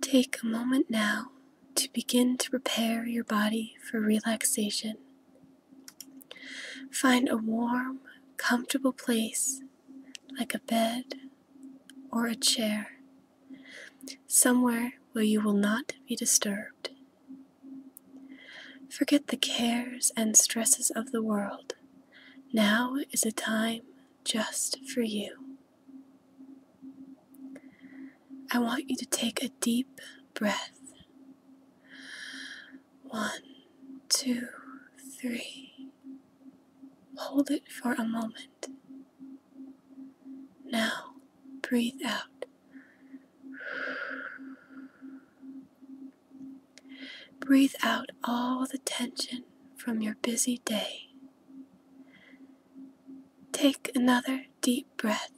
Take a moment now to begin to prepare your body for relaxation. Find a warm, comfortable place like a bed or a chair, somewhere where you will not be disturbed. Forget the cares and stresses of the world. Now is a time just for you. I want you to take a deep breath. One, two, three. Hold it for a moment. Now breathe out. Breathe out all the tension from your busy day. Take another deep breath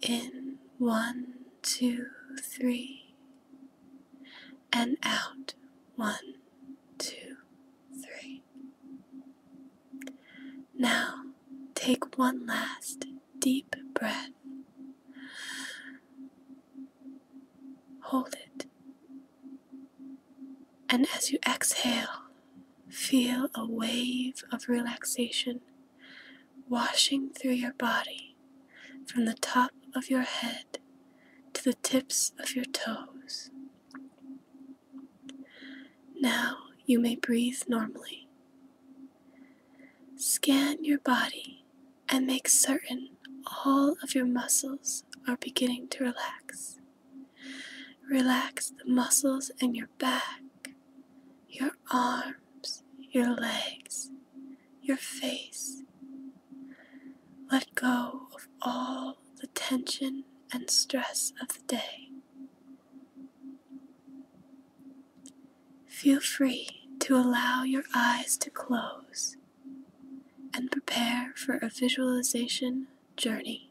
in one, two, three, and out one, two, three. Now take one last deep breath Hold it. And as you exhale, feel a wave of relaxation washing through your body from the top of your head to the tips of your toes. Now you may breathe normally. Scan your body and make certain all of your muscles are beginning to relax. Relax the muscles in your back, your arms, your legs, your face. Let go of all the tension and stress of the day. Feel free to allow your eyes to close and prepare for a visualization journey.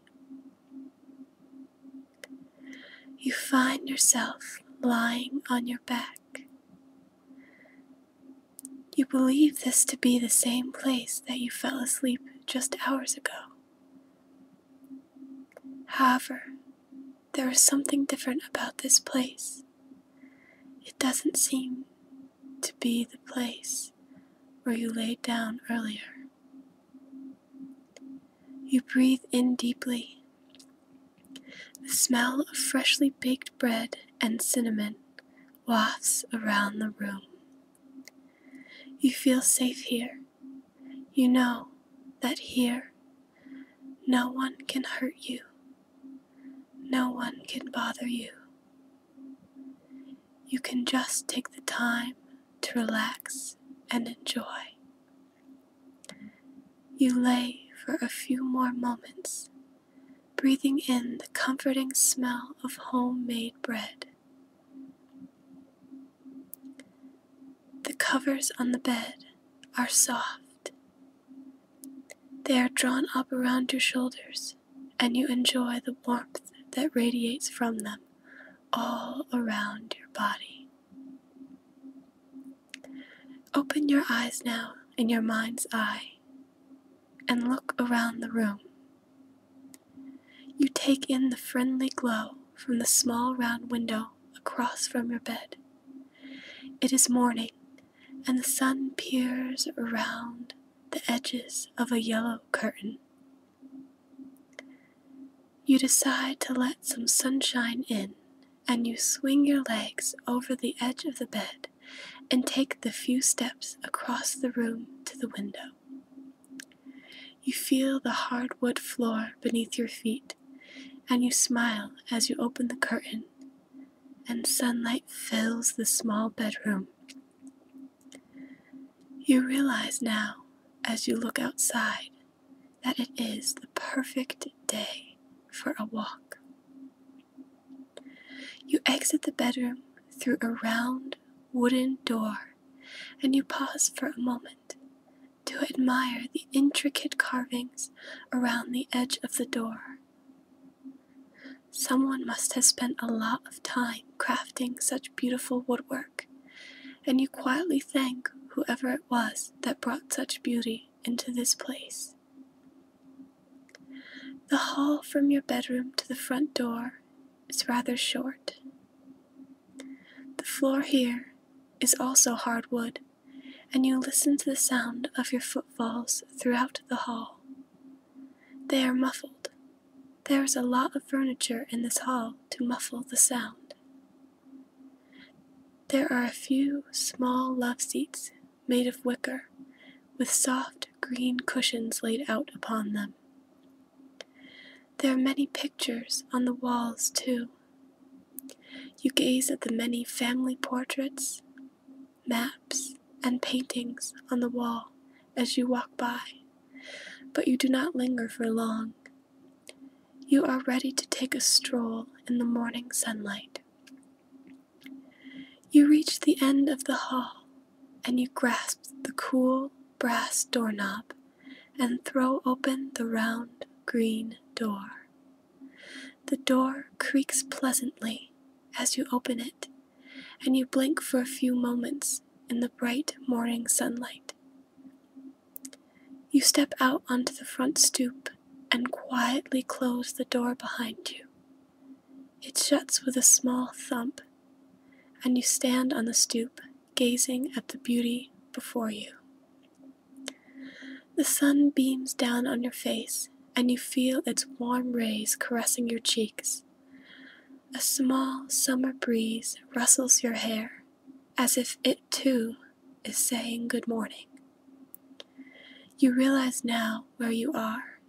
You find yourself lying on your back. You believe this to be the same place that you fell asleep just hours ago. However, there is something different about this place. It doesn't seem to be the place where you laid down earlier. You breathe in deeply. The smell of freshly baked bread and cinnamon wafts around the room. You feel safe here. You know that here no one can hurt you no one can bother you. You can just take the time to relax and enjoy. You lay for a few more moments, breathing in the comforting smell of homemade bread. The covers on the bed are soft they are drawn up around your shoulders, and you enjoy the warmth that radiates from them all around your body. Open your eyes now in your mind's eye and look around the room. You take in the friendly glow from the small round window across from your bed. It is morning, and the sun peers around the edges of a yellow curtain. You decide to let some sunshine in, and you swing your legs over the edge of the bed and take the few steps across the room to the window. You feel the hardwood floor beneath your feet, and you smile as you open the curtain and sunlight fills the small bedroom. You realize now, as you look outside, that it is the perfect day for a walk. You exit the bedroom through a round wooden door and you pause for a moment to admire the intricate carvings around the edge of the door. Someone must have spent a lot of time crafting such beautiful woodwork, and you quietly thank whoever it was that brought such beauty into this place. The hall from your bedroom to the front door is rather short. The floor here is also hard wood and you listen to the sound of your footfalls throughout the hall. They are muffled. There is a lot of furniture in this hall to muffle the sound. There are a few small love seats made of wicker with soft green cushions laid out upon them. There are many pictures on the walls, too, you gaze at the many family portraits, maps, and paintings on the wall as you walk by, but you do not linger for long. You are ready to take a stroll in the morning sunlight. You reach the end of the hall and you grasp the cool brass doorknob and throw open the round green door. The door creaks pleasantly as you open it, and you blink for a few moments in the bright morning sunlight. You step out onto the front stoop and quietly close the door behind you. It shuts with a small thump, and you stand on the stoop gazing at the beauty before you. The sun beams down on your face, and you feel its warm rays caressing your cheeks. A small summer breeze rustles your hair as if it too is saying good morning. You realize now where you are.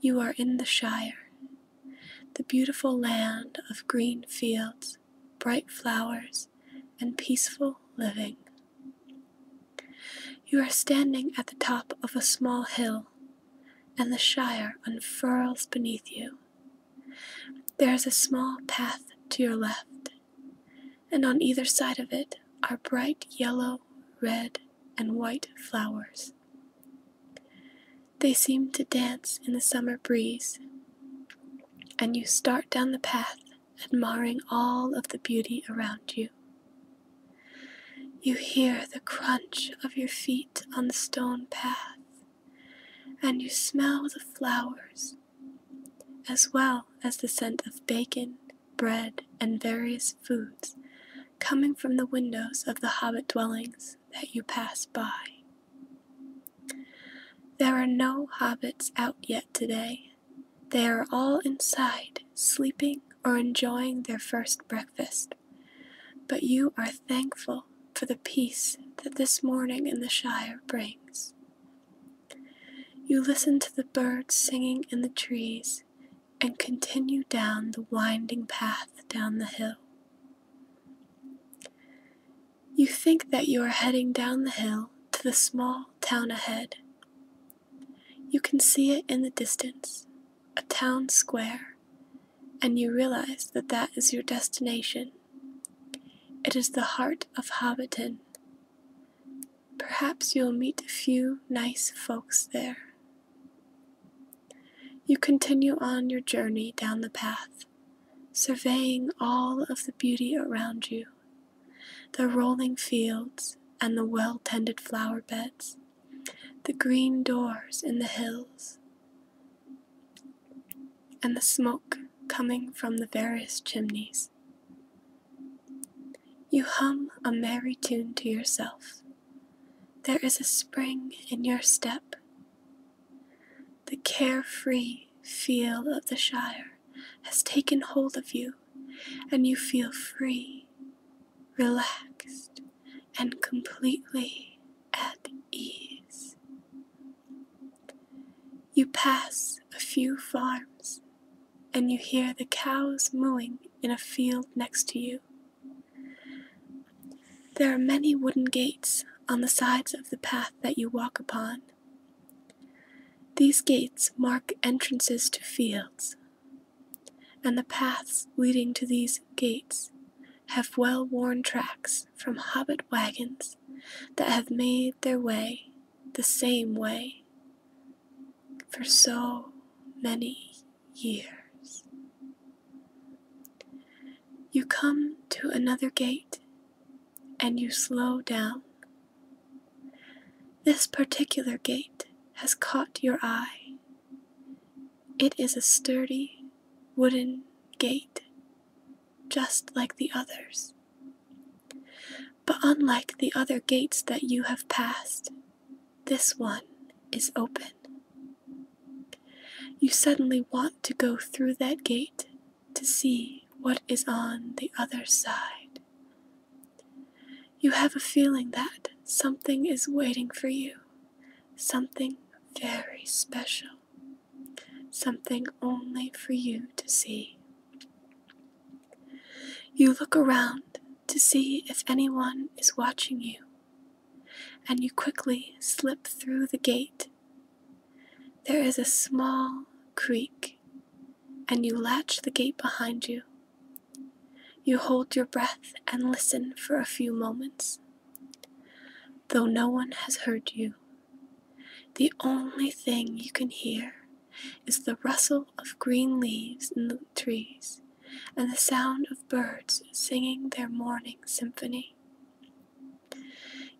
You are in the Shire, the beautiful land of green fields, bright flowers, and peaceful living. You are standing at the top of a small hill, and the Shire unfurls beneath you. There is a small path to your left, and on either side of it are bright yellow, red, and white flowers. They seem to dance in the summer breeze, and you start down the path admiring all of the beauty around you. You hear the crunch of your feet on the stone path, and you smell the flowers, as well as the scent of bacon, bread, and various foods coming from the windows of the hobbit dwellings that you pass by. There are no hobbits out yet today. They are all inside, sleeping or enjoying their first breakfast. But you are thankful for the peace that this morning in the Shire brings. You listen to the birds singing in the trees and continue down the winding path down the hill. You think that you are heading down the hill to the small town ahead. You can see it in the distance, a town square, and you realize that that is your destination. It is the heart of Hobbiton. Perhaps you'll meet a few nice folks there. You continue on your journey down the path surveying all of the beauty around you the rolling fields and the well tended flower beds, the green doors in the hills, and the smoke coming from the various chimneys. You hum a merry tune to yourself. There is a spring in your step. The carefree feel of the Shire has taken hold of you, and you feel free, relaxed, and completely at ease. You pass a few farms, and you hear the cows mooing in a field next to you. There are many wooden gates on the sides of the path that you walk upon. These gates mark entrances to fields, and the paths leading to these gates have well worn tracks from hobbit wagons that have made their way the same way for so many years. You come to another gate and you slow down. This particular gate has caught your eye. It is a sturdy wooden gate, just like the others. But unlike the other gates that you have passed, this one is open. You suddenly want to go through that gate to see what is on the other side. You have a feeling that something is waiting for you, something very special, something only for you to see. You look around to see if anyone is watching you, and you quickly slip through the gate there is a small creek, and you latch the gate behind you. You hold your breath and listen for a few moments. Though no one has heard you, the only thing you can hear is the rustle of green leaves in the trees and the sound of birds singing their morning symphony.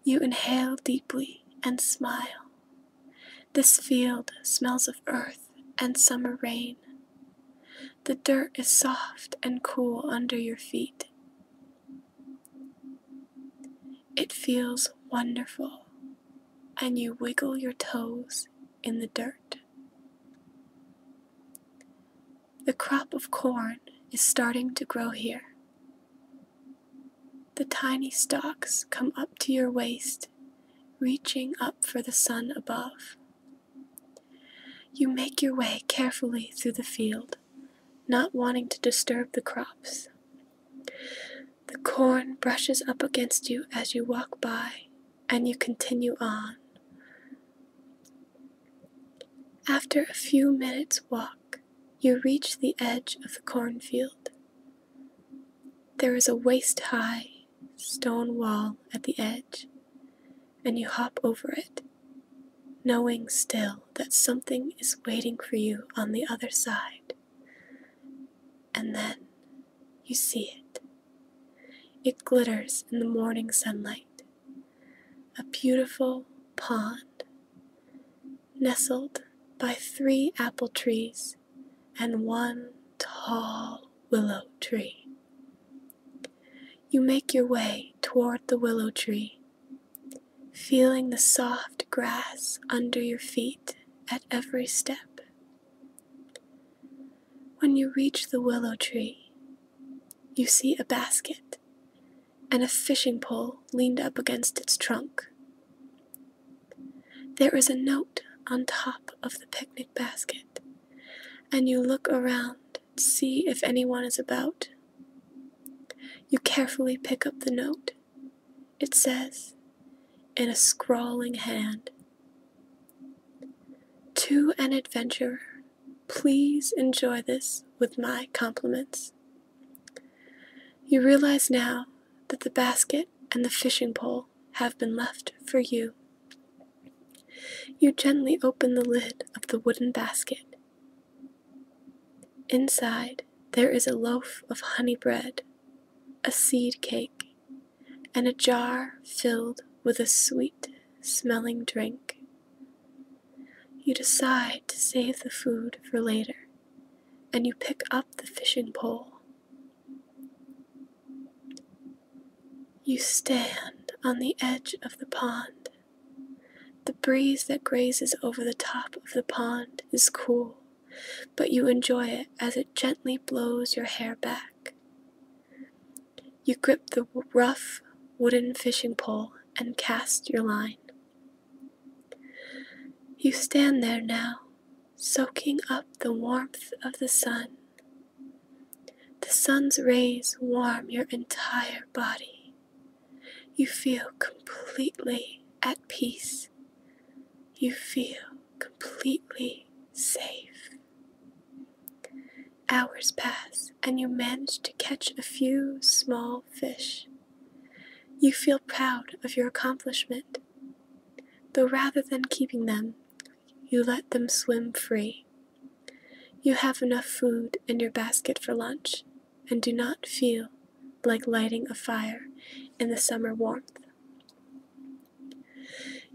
You inhale deeply and smile. This field smells of earth and summer rain. The dirt is soft and cool under your feet. It feels wonderful, and you wiggle your toes in the dirt. The crop of corn is starting to grow here. The tiny stalks come up to your waist, reaching up for the sun above. You make your way carefully through the field, not wanting to disturb the crops. The corn brushes up against you as you walk by, and you continue on, after a few minutes' walk, you reach the edge of the cornfield. There is a waist high stone wall at the edge, and you hop over it, knowing still that something is waiting for you on the other side. And then you see it. It glitters in the morning sunlight, a beautiful pond nestled by three apple trees and one tall willow tree. You make your way toward the willow tree, feeling the soft grass under your feet at every step. When you reach the willow tree, you see a basket and a fishing pole leaned up against its trunk. There is a note on top of the picnic basket, and you look around to see if anyone is about. You carefully pick up the note. It says, in a scrawling hand, To an adventurer Please enjoy this with my compliments. You realize now that the basket and the fishing pole have been left for you. You gently open the lid of the wooden basket. Inside, there is a loaf of honey bread, a seed cake, and a jar filled with a sweet smelling drink. You decide to save the food for later, and you pick up the fishing pole. You stand on the edge of the pond. The breeze that grazes over the top of the pond is cool, but you enjoy it as it gently blows your hair back. You grip the rough wooden fishing pole and cast your line. You stand there now, soaking up the warmth of the sun. The sun's rays warm your entire body. You feel completely at peace. You feel completely safe. Hours pass, and you manage to catch a few small fish. You feel proud of your accomplishment, though rather than keeping them, you let them swim free. You have enough food in your basket for lunch and do not feel like lighting a fire in the summer warmth.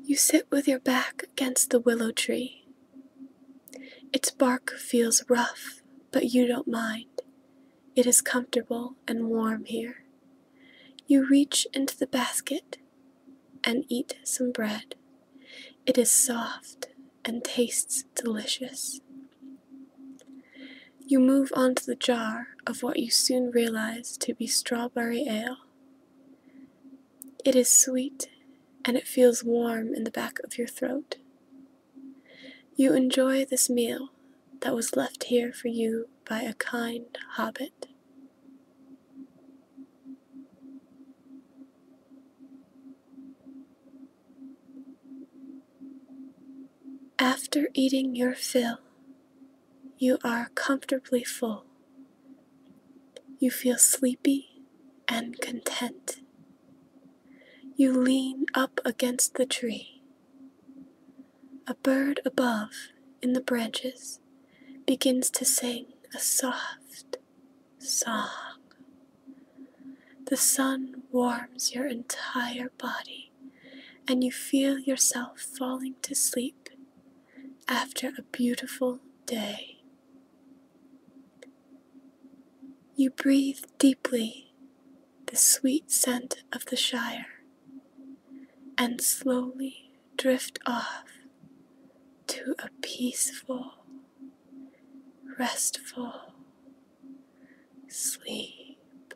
You sit with your back against the willow tree. Its bark feels rough, but you don't mind. It is comfortable and warm here. You reach into the basket and eat some bread. It is soft and tastes delicious. You move on to the jar of what you soon realize to be strawberry ale. It is sweet and it feels warm in the back of your throat. You enjoy this meal that was left here for you by a kind hobbit. After eating your fill, you are comfortably full. You feel sleepy and content. You lean up against the tree. A bird above in the branches begins to sing a soft song. The sun warms your entire body, and you feel yourself falling to sleep after a beautiful day. You breathe deeply the sweet scent of the Shire and slowly drift off to a peaceful, restful sleep.